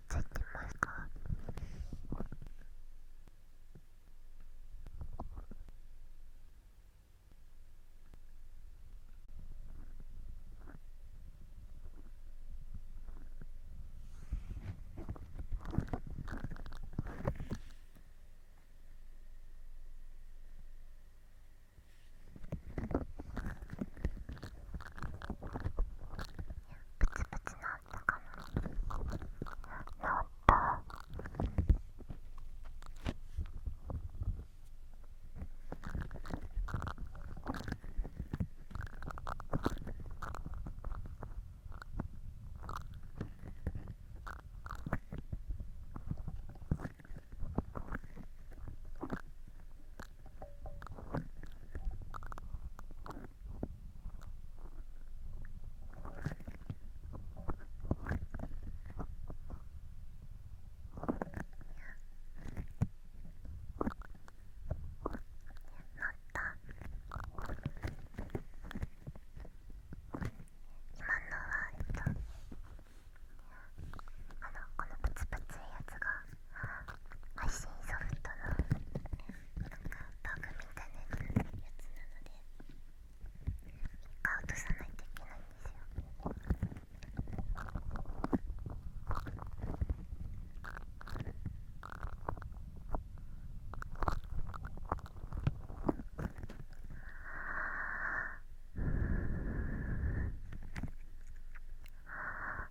っちゃってますかプチプチなんだから。のはえっとあのこのプツプツいやつが配信ソフトのなんかバグみたいなやつなので1回落とさないといけないんですよああ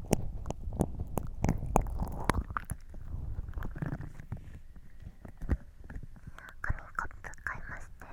コップ買いましたよ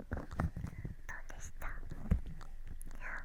うでしたいや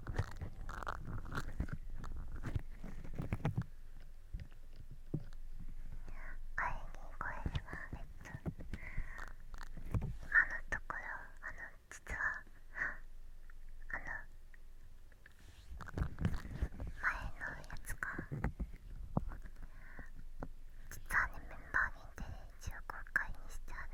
ところあの実はあの前のやつが実はねメンバー限定で一応公開にしてある。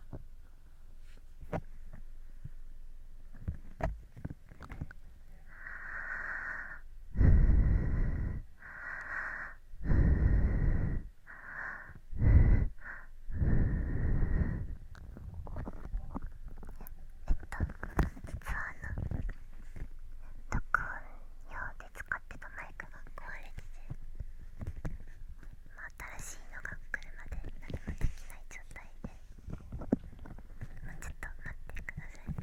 えっと、実はあ録音用で使ってたマイクが壊れてて。まあ、新しいのが来るまで何もできない状態でもうちょっと待ってくださいね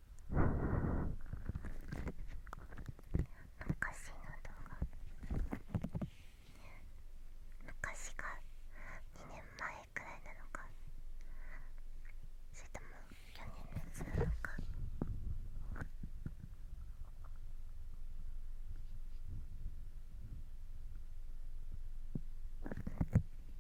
昔の動画昔が2年前くらいなのかそれとも去年のやつなのか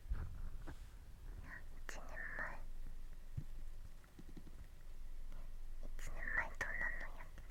1年前1年前どんのやってた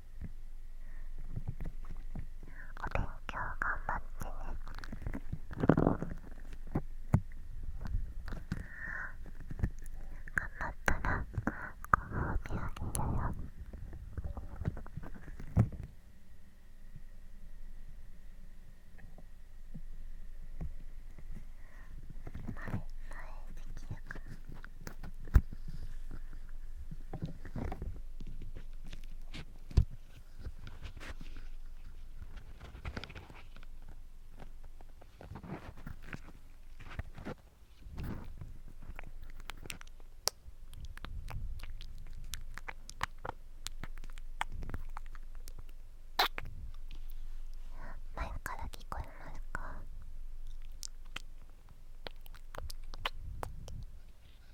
お勉強頑張ってね頑張ったらご褒美あげるよ前前できるかな前から聞こえますか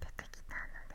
出てきたので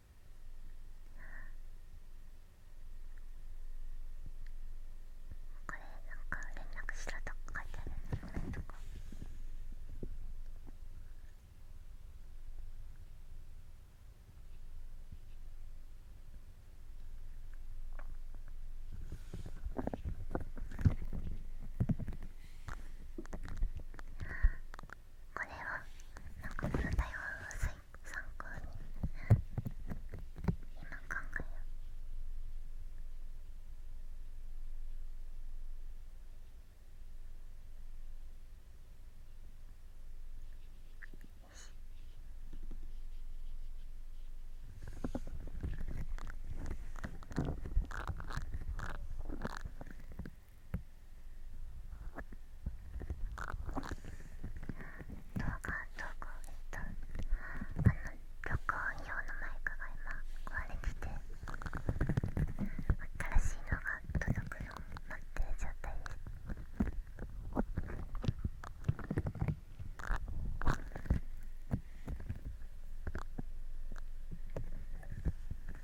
これなんか連絡しろとか書いてあるのこれとかこれはなんかこの台湾を参考に今考えようよしこ動画どこえっと、あの録音用のマイクが今壊れてて新しいのが届くのを待ってる状態です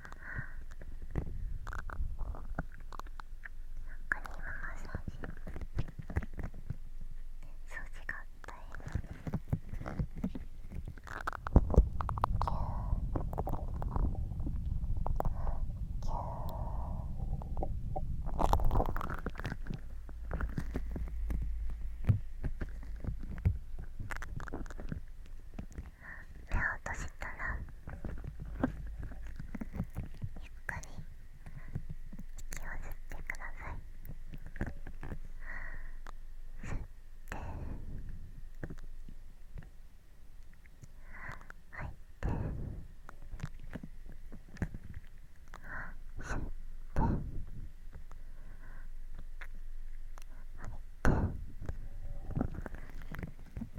何かにままさに掃除があったように。目を閉じたらゆっくり息を吸ってください吸って吐いて吸って吐いて。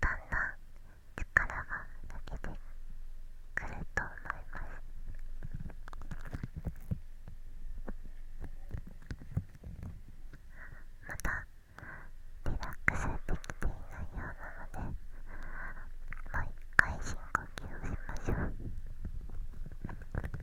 だんだん力が抜けてくると思いますまだリラックスできていないようなのでもう一回深呼吸をしましょう。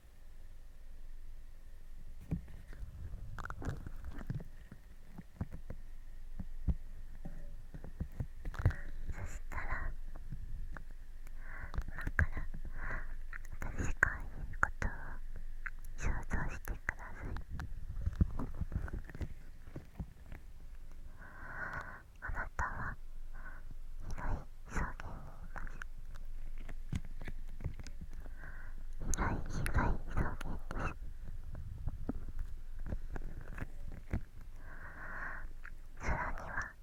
そしたら今から私が言うことを想像してくださいあなたは広い証言にいます被害被害証言です空には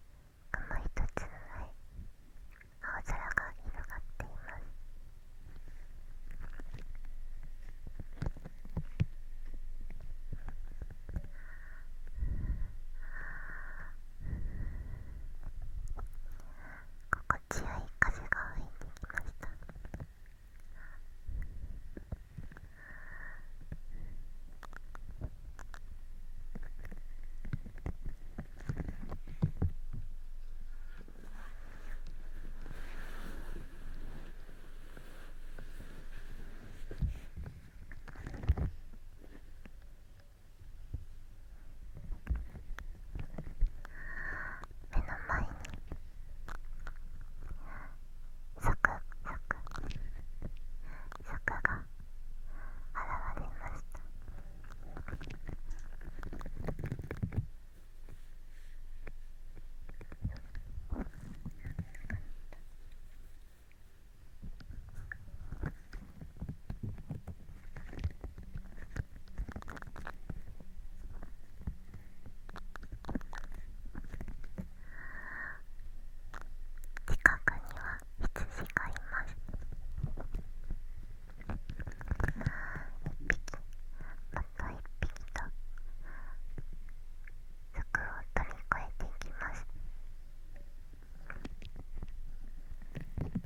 雲一つない青空が広がっています「心地よい風が吹いてきました目の前に柵柵柵が現れました近くには羊がいます一匹また一匹と柵を飛び越えていきます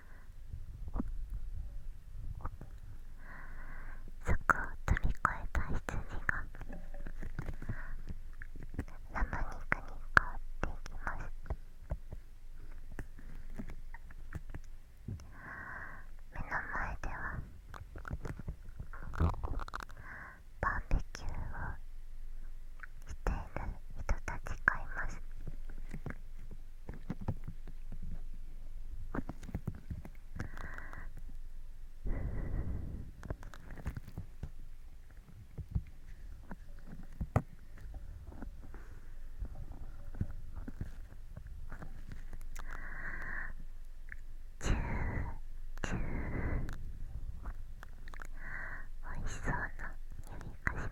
そこを飛び越えた羊が生肉に変わっていきます目の前ではバーベキューをしている人たちがいます。おいしそうな指かし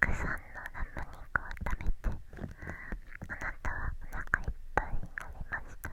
たくさんのラム肉を食べてあなたはお腹いっぱいになりました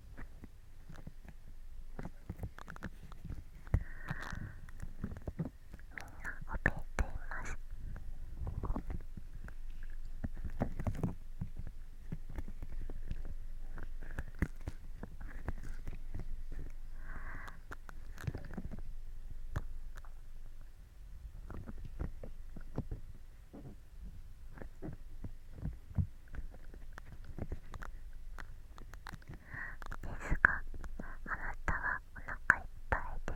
怯えていますですがあなたはお腹いっぱいで動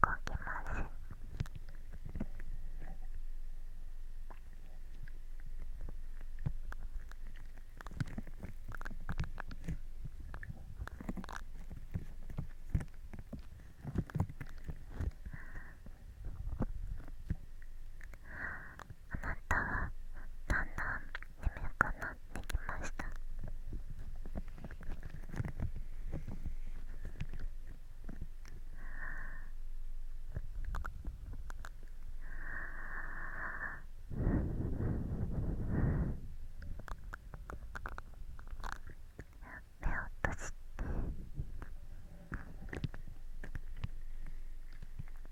けませんあなたはだんだん眠くなってきました目を閉じて。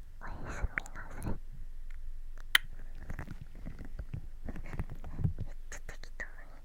おやすみなさいめっち適当に。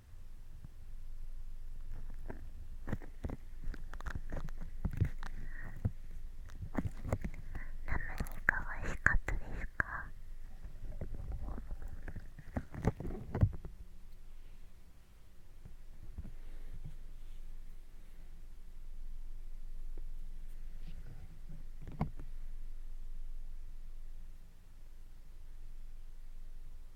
何が美味しかったですか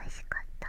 美味しかった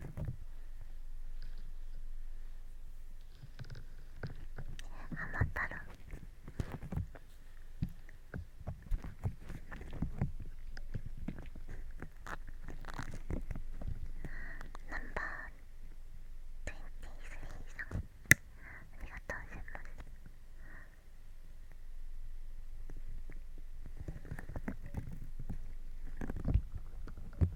ハマったらナンバー23さんありがとうございます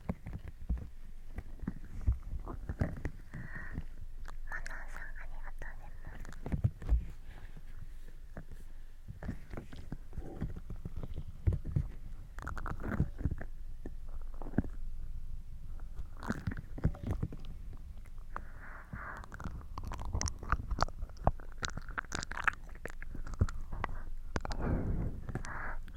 あよ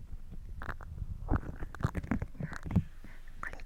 これ疲れる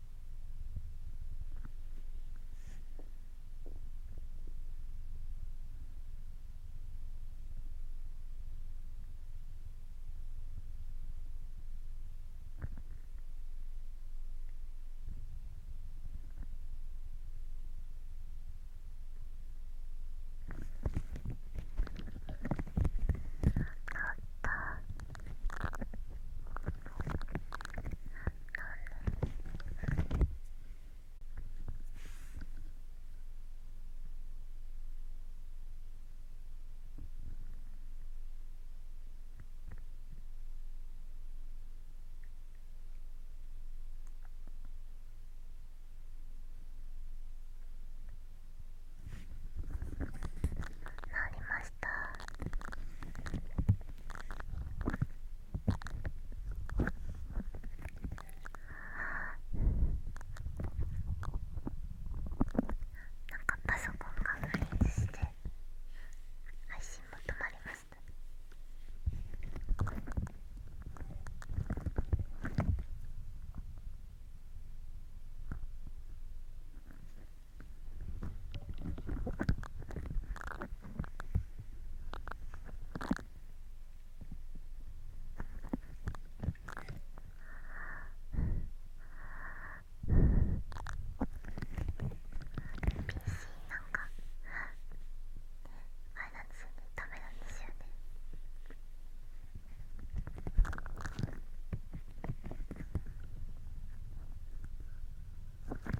あったあったなりました。しかパソコンがフリーズして配信も止まりましたあれなんですよねダメなんですよん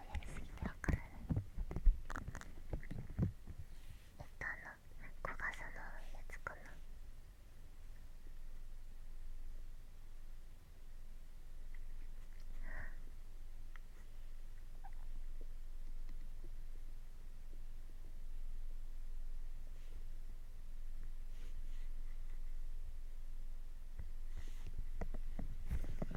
がやりすぎてわからないえっとあの小笠のやつかな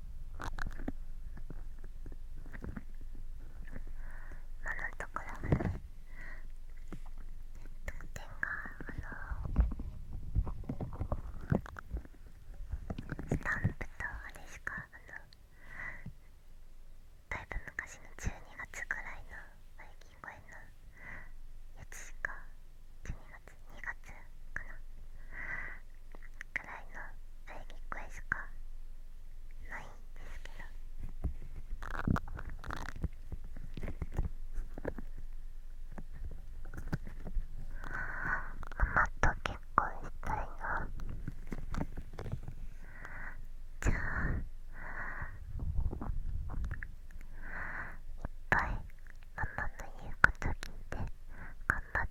今のところはね得点があのスタンプとあれしかあのだいぶ昔の12月ぐらいのバイキン公園のやつしか12月2月かなくらいの喘ぎ声しかないんですけど。ママと結婚したいなじゃあいっぱいママの言うこと聞いて頑張って。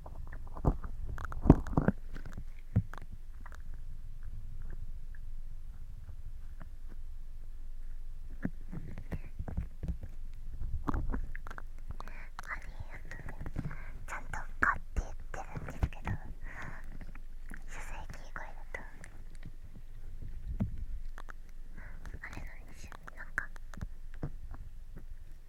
あれやね。ちゃんと「か」って言ってるんですけど書籍キー声だとあれな一ですなんか。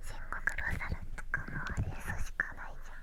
戦国ロサルとかもあれそしかないじゃん。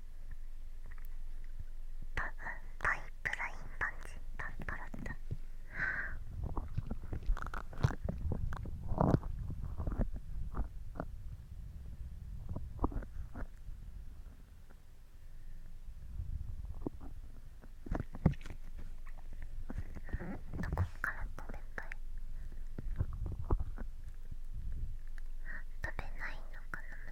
タタイプラインパンチパンパラッタどこから飛べたい食べないのかな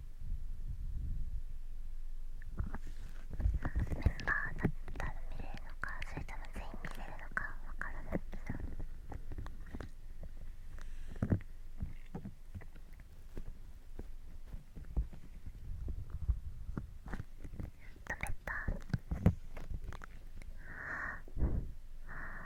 バーだったら見れるのかそれとも全員見れるのかわからないけど。止めた。あ。あ。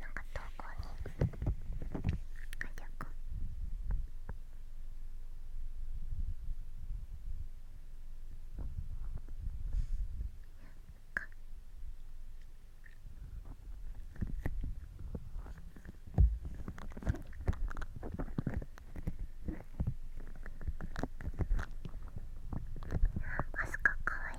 なんか投稿に書いてうかあすかかわ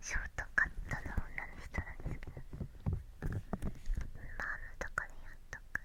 ショートカットの女の人なんですけどマームとかにやっとく「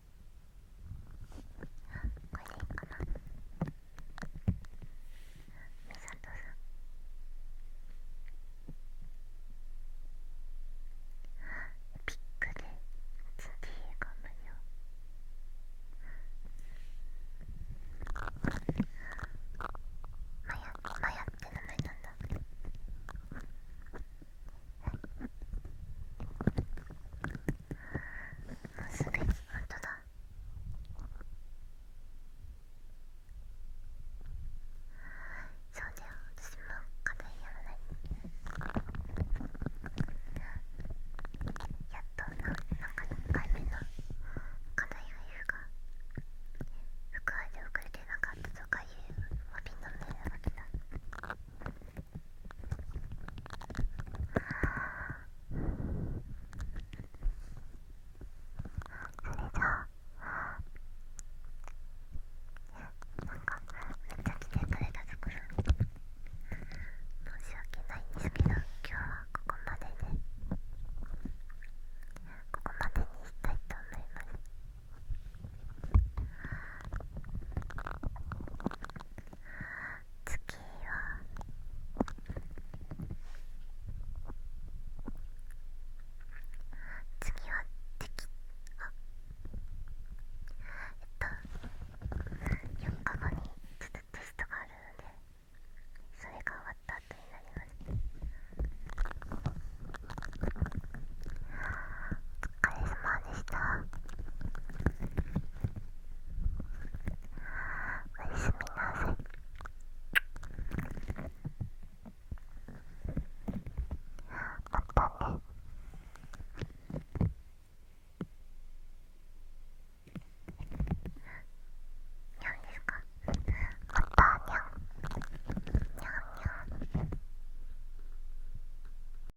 なさんピックでつツディが無料マヤマヤって名前なんだ。すべきことだそうだよ私も課題やらないやっとなんか1回目の課題がいるか。副はで遅れてなかったとかいうわけのんだよなわけだあ。れかめっちゃ来てくれたところ申し訳ないんですけど今日はここまでで、ね、ここまでにしたいと思います。次は次は敵あえっと4日後にちょっとテストがあるのでそれが終わった後になりますお疲疲れ様でしたおやすみなさいまたねにゃんですかまたにゃんにゃんにゃん